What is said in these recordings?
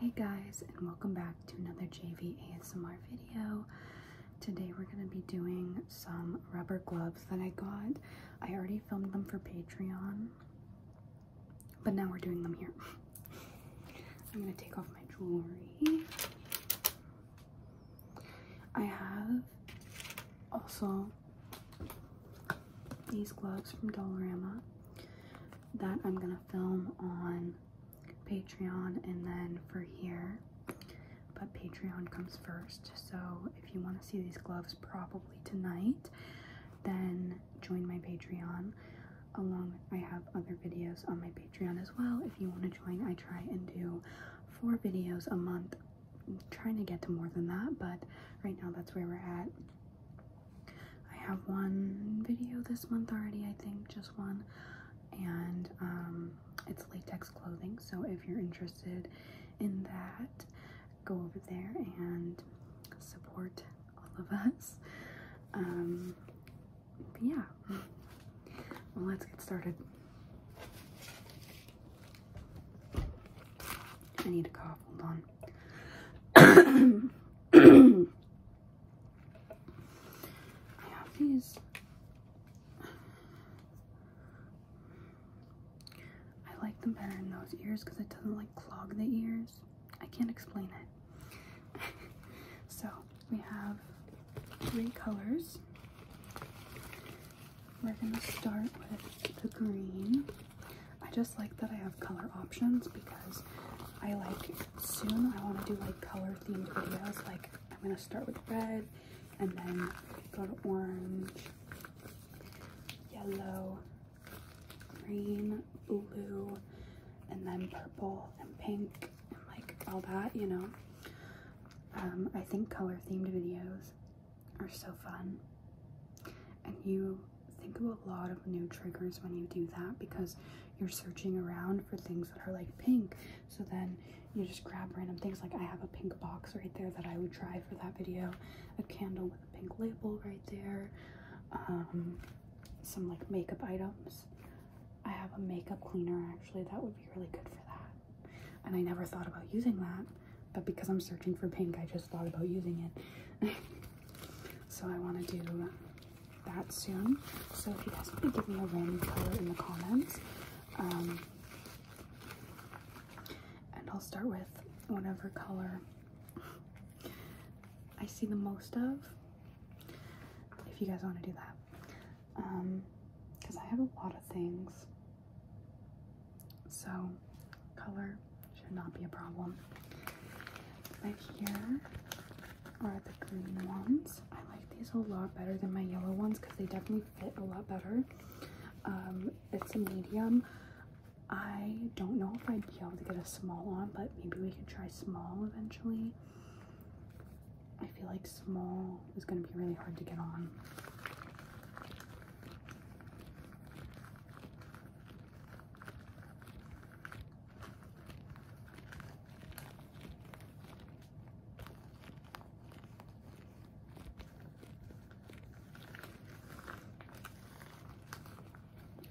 Hey guys, and welcome back to another JV ASMR video. Today we're going to be doing some rubber gloves that I got. I already filmed them for Patreon, but now we're doing them here. I'm going to take off my jewelry. I have also these gloves from Dollarama that I'm going to film on Patreon and then for here, but Patreon comes first. So if you want to see these gloves probably tonight, then join my Patreon. Along, I have other videos on my Patreon as well. If you want to join, I try and do four videos a month. trying to get to more than that, but right now that's where we're at. I have one video this month already, I think, just one, and um, it's latex clothing. So if you're interested in that, go over there and support all of us. Um, yeah, let's get started. I need a cough, hold on. I have these. I like them better in those ears because it doesn't like clog the ears. I can't explain it. so we have three colors. We're going to start with the green. I just like that I have color options because I like soon I want to do like color themed videos. Like I'm gonna start with red and then go to orange, yellow, green, blue, and then purple and pink and like all that, you know. Um, I think color themed videos are so fun and you think of a lot of new triggers when you do that because you're searching around for things that are like pink. So then you just grab random things. Like I have a pink box right there that I would try for that video. A candle with a pink label right there. Um, some like makeup items. I have a makeup cleaner actually that would be really good for that. And I never thought about using that, but because I'm searching for pink, I just thought about using it. so I want to do that soon. So if you guys want to give me a random color in the comments, um, and I'll start with whatever color I see the most of. If you guys want to do that, because um, I have a lot of things. So color should not be a problem. Right here are the green ones. I like these a lot better than my yellow ones because they definitely fit a lot better. Um, it's a medium. I don't know if I'd be able to get a small on, but maybe we could try small eventually. I feel like small is going to be really hard to get on.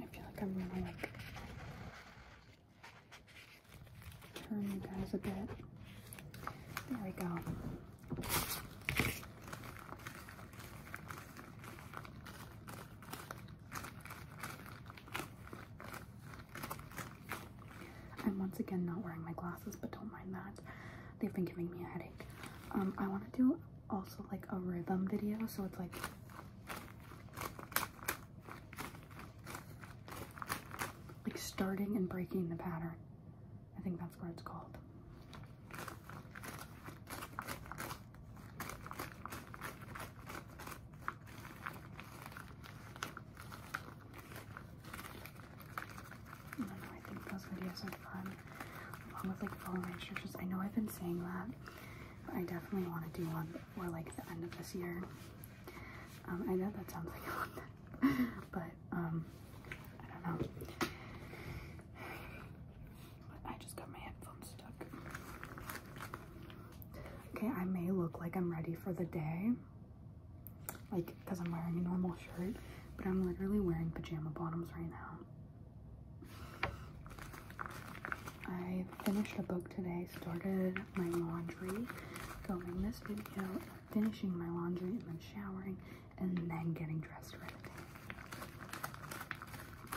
I feel like I'm gonna like turn you guys a bit. There we go. I'm once again not wearing my glasses, but don't mind that. They've been giving me a headache. Um, I want to do also like a rhythm video, so it's like like starting and breaking the pattern. I think that's what it's called. I know, I think those videos are fun. Along with like following instructions. I know I've been saying that, but I definitely want to do one before like the end of this year. Um, I know that sounds like a lot, but um, I don't know. I just got my headphones stuck. Okay, I may look like I'm ready for the day. Like, because I'm wearing a normal shirt, but I'm literally wearing pajama bottoms right now. I finished a book today, started my laundry, filming this video, finishing my laundry, and then showering, and then getting dressed for the day.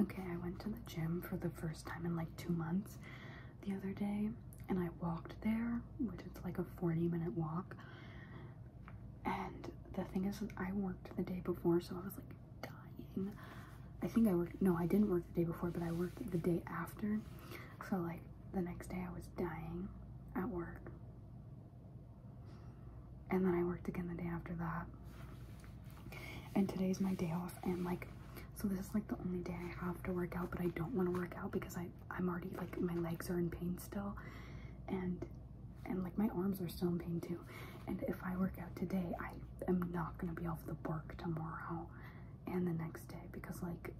Okay, I went to the gym for the first time in like two months the other day and I walked there, which is like a 40 minute walk. And the thing is, I worked the day before, so I was like dying. I think I worked, no, I didn't work the day before, but I worked the day after. So, like, the next day I was dying at work. And then I worked again the day after that and today's my day off and like so this is like the only day I have to work out but I don't want to work out because I I'm already like my legs are in pain still and and like my arms are still in pain too and if I work out today I am not gonna be off the work tomorrow and the next day because like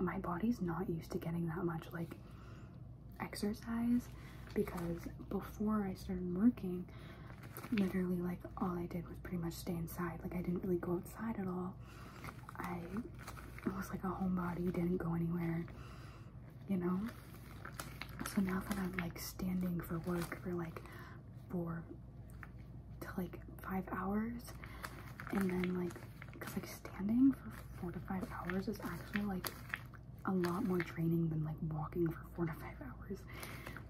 my body's not used to getting that much like exercise because before I started working literally like all I did was pretty much stay inside. Like I didn't really go outside at all. I was like a homebody, didn't go anywhere, you know? So now that I'm like standing for work for like four to like five hours and then like, cause like standing for four to five hours is actually like a lot more draining than like walking four to five hours.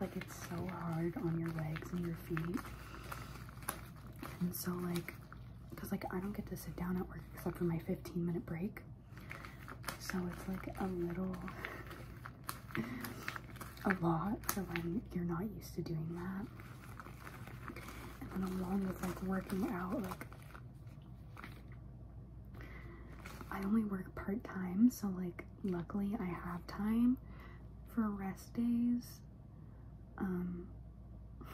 Like it's so hard on your legs and your feet. And so like, cause like I don't get to sit down at work except for my 15 minute break. So it's like a little, a lot So when you're not used to doing that. And then along with like working out, like I only work part-time, so like luckily I have time for rest days. Um,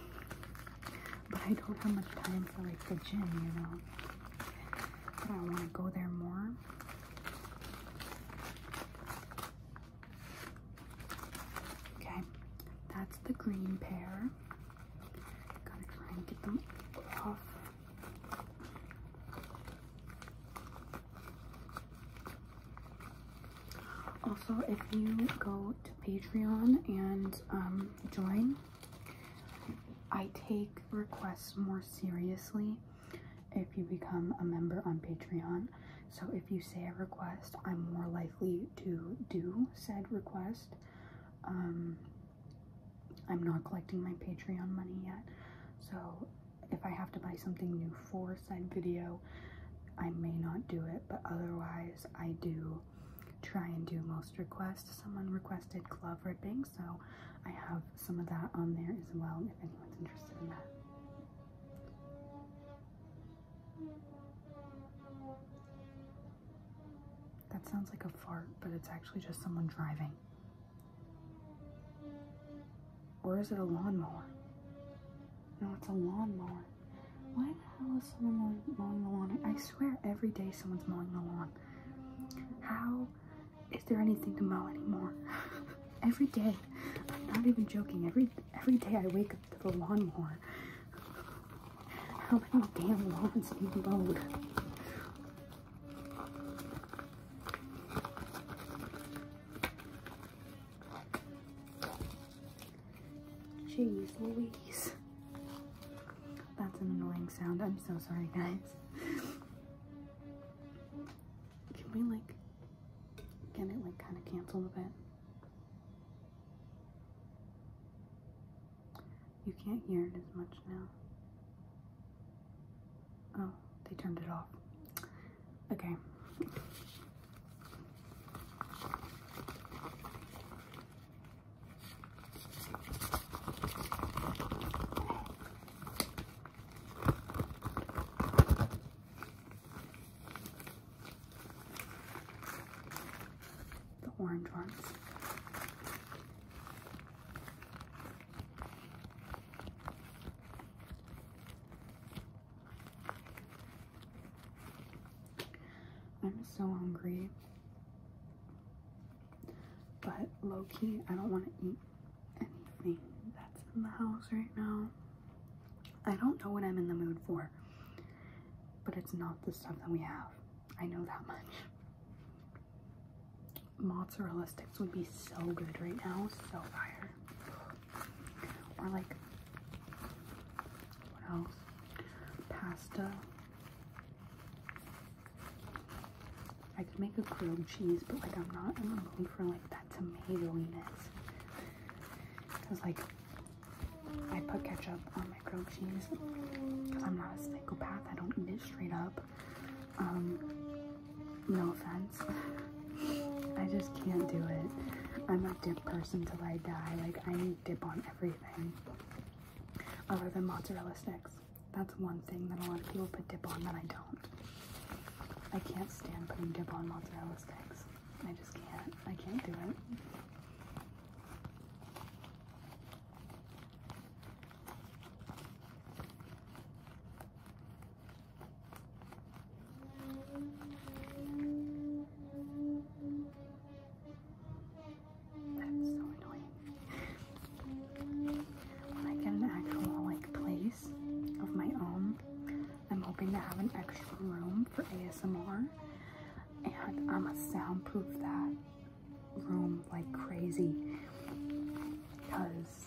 but I don't have much time for like the gym, you know. But I want to go there more. Okay, that's the green pair. Gotta try and get them off. Also, if you go to Patreon and um, join, I take requests more seriously if you become a member on Patreon. So, if you say a request, I'm more likely to do said request. Um, I'm not collecting my Patreon money yet, so if I have to buy something new for said video, I may not do it, but otherwise I do try and do most requests. Someone requested glove ripping, so I have some of that on there as well if anyone's interested in that. That sounds like a fart, but it's actually just someone driving. Or is it a lawnmower? No, it's a lawnmower. Why the hell is someone mowing the lawn? I swear every day someone's mowing the lawn. How is there anything to mow anymore? every day. I'm not even joking. Every every day I wake up to the lawnmower. How many damn lawns need mowed? Jeez Louise. That's an annoying sound. I'm so sorry, guys. Can we, like, get it, like, kind of canceled a bit? You can't hear it as much now. Oh, they turned it off. Okay. The orange ones. I'm so hungry, but low key, I don't want to eat anything that's in the house right now. I don't know what I'm in the mood for, but it's not the stuff that we have. I know that much mozzarella sticks would be so good right now. So fire. Or like what else? Pasta. I could make a grilled cheese, but like I'm not in the mood for like that tomatoiness. Cause like I put ketchup on my grilled cheese because I'm not a psychopath. I don't eat it straight up. Um, no offense. I just can't do it. I'm a dip person till I die. Like, I need dip on everything other than mozzarella sticks. That's one thing that a lot of people put dip on that I don't. I can't stand putting dip on mozzarella sticks. I just can't. I can't do it so annoying. When I get an actual like place of my own, I'm hoping to have an extra room for ASMR, and I'ma soundproof that room like crazy. Cause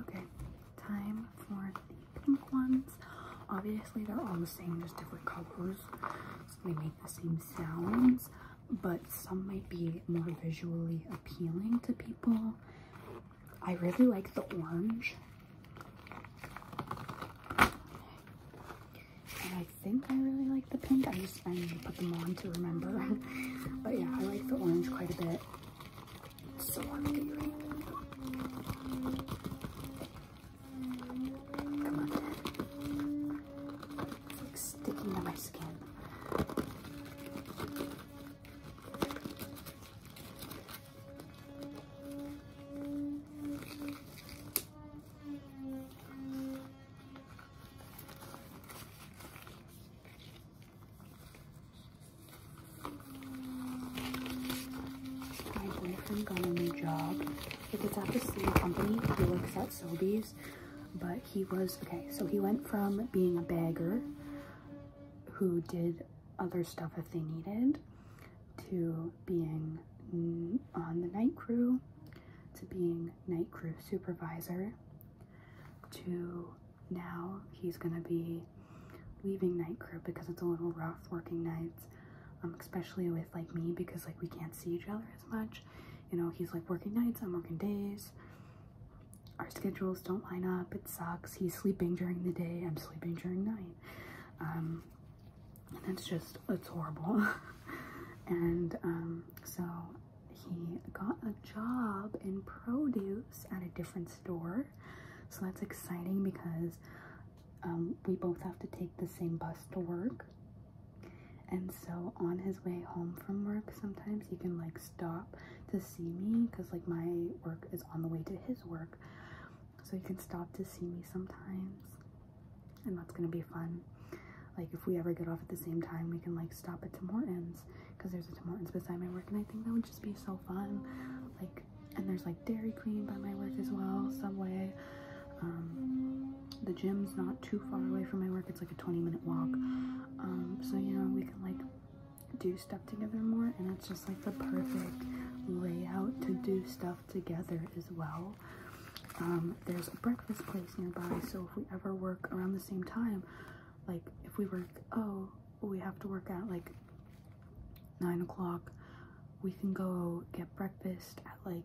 Okay, time for the pink ones. Obviously, they're all the same, just different colors. they make the same sounds, but some might be more visually appealing to people. I really like the orange. And I think I really like the pink. I just I need to put them on to remember. but yeah, I like the orange quite a bit. It's so hard to Come on. It's sticking to my skin. My boyfriend got a new job. If it's at the same company, he works at Sobeys, but he was, okay, so he went from being a bagger who did other stuff if they needed to being on the night crew to being night crew supervisor to now he's gonna be leaving night crew because it's a little rough working nights um, especially with like me because like we can't see each other as much you know he's like working nights i'm working days our schedules don't line up it sucks he's sleeping during the day i'm sleeping during night um, um, and it's just, it's horrible. and um, so he got a job in produce at a different store. So that's exciting because um, we both have to take the same bus to work. And so on his way home from work, sometimes he can like stop to see me because like my work is on the way to his work. So he can stop to see me sometimes and that's gonna be fun. Like if we ever get off at the same time, we can like stop at Tim Hortons because there's a Tim Hortons beside my work, and I think that would just be so fun. Like, and there's like Dairy Queen by my work as well, Subway. Um, the gym's not too far away from my work; it's like a 20-minute walk. Um, so you know we can like do stuff together more, and it's just like the perfect layout to do stuff together as well. Um, there's a breakfast place nearby, so if we ever work around the same time, like if we work, oh, we have to work at like nine o'clock, we can go get breakfast at like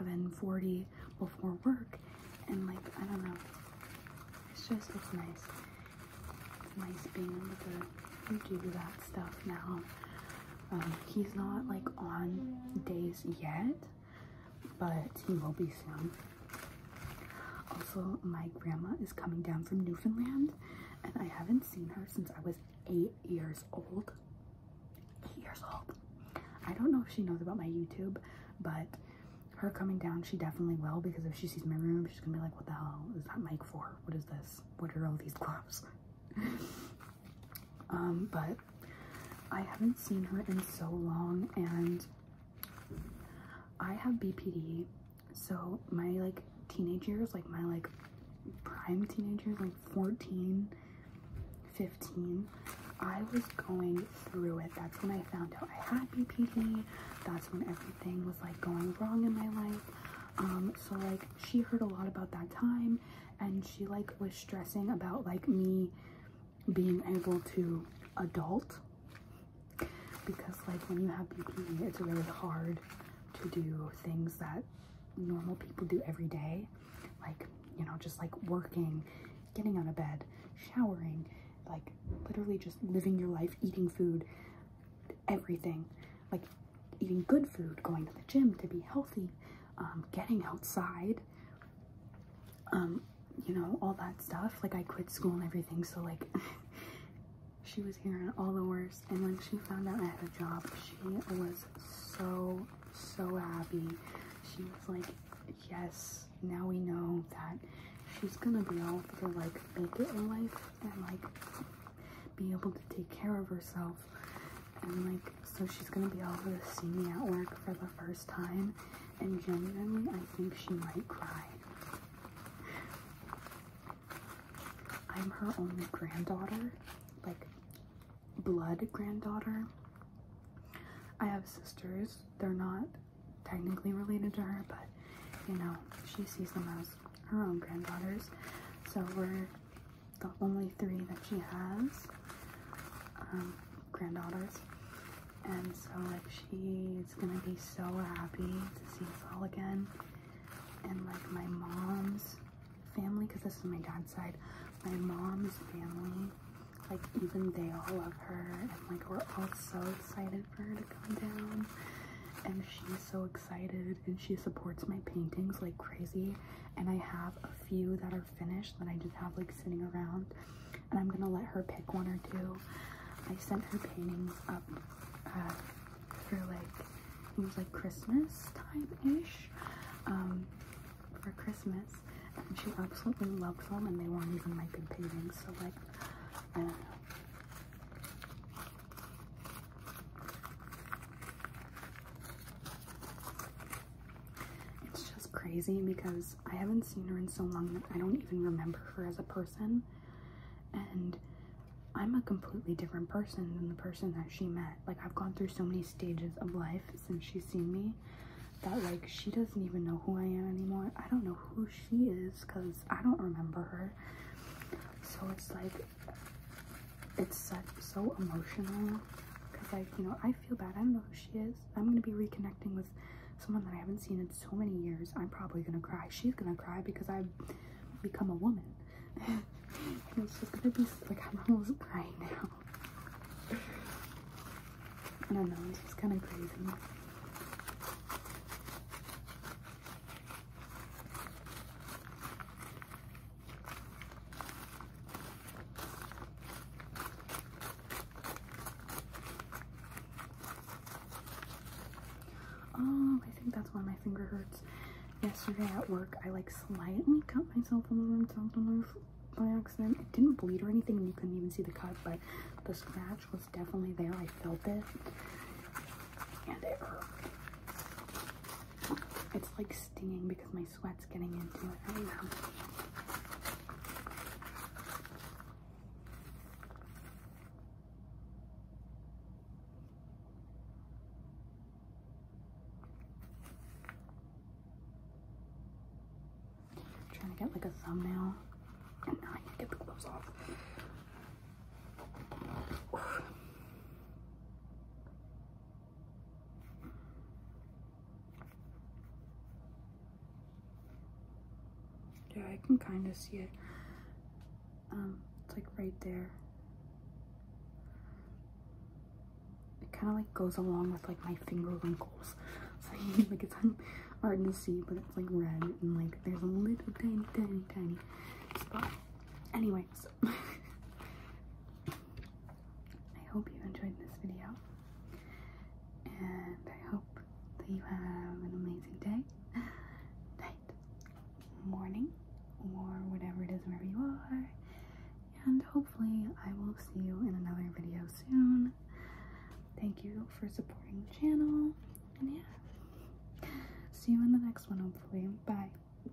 7:40 before work, and like I don't know, it's just it's nice. It's nice being able to do that stuff now. Um, he's not like on days yet, but he will be soon. Also, my grandma is coming down from Newfoundland, and I haven't seen her since I was eight years old. Eight years old. I don't know if she knows about my YouTube, but her coming down, she definitely will because if she sees my room, she's gonna be like, What the hell is that mic for? What is this? What are all these gloves? Um, but I haven't seen her in so long and I have BPD. So my like teenage years, like my like prime teenage years, like 14, 15, I was going through it. That's when I found out I had BPD. That's when everything was like going wrong in my life. Um, so like she heard a lot about that time and she like was stressing about like me being able to adult because like when you have BPD it's really hard to do things that normal people do every day like you know just like working getting out of bed showering like literally just living your life eating food everything like eating good food, going to the gym to be healthy, um, getting outside, um, you know, all that stuff. Like, I quit school and everything, so like, she was hearing it all the worst. And when she found out I had a job, she was so, so happy. She was like, yes, now we know that she's gonna be able to like make it in life and like be able to take care of herself and like so she's gonna be able to see me at work for the first time and genuinely I think she might cry. I'm her only granddaughter, like blood granddaughter. I have sisters, they're not technically related to her, but you know, she sees them as her own granddaughters. So we're the only three that she has um, granddaughters. And so, like, she's gonna be so happy to see us all again. And, like, my mom's family, because this is my dad's side, my mom's family, like, even they all love her. And, like, we're all so excited for her to come down. And she's so excited, and she supports my paintings like crazy and I have a few that are finished that I just have like sitting around and I'm gonna let her pick one or two. I sent her paintings up uh, for like it was like Christmas time-ish um, for Christmas and she absolutely loves them and they weren't even my paintings so like I don't know. It's just crazy because I haven't seen her in so long that I don't even remember her as a person. And I'm a completely different person than the person that she met. Like, I've gone through so many stages of life since she's seen me that, like, she doesn't even know who I am anymore. I don't know who she is because I don't remember her. So it's like it's so emotional because like you know I feel bad I don't know who she is I'm gonna be reconnecting with someone that I haven't seen in so many years I'm probably gonna cry she's gonna cry because I've become a woman it's just gonna be like I'm almost crying now I don't know it's kind of crazy Oh, I think that's why my finger hurts. Yesterday at work, I like slightly cut myself a little bit by accident. It didn't bleed or anything, and you couldn't even see the cut, but the scratch was definitely there. I felt it, and it hurt. It's like stinging because my sweat's getting into it right now. trying to get like a thumbnail, and now I can get the gloves off. Yeah, I can kind of see it. Um, it's like right there. It kind of like goes along with like my finger wrinkles. So like it's hard to see, but it's like red and like there's a little tiny, tiny, tiny spot. Anyway. So I hope you enjoyed this video, and I hope that you have an amazing day, night, morning, or whatever it is wherever you are. And hopefully, I will see you in another video soon. Thank you for supporting the channel, and yeah, see you in the next one. Hopefully, bye.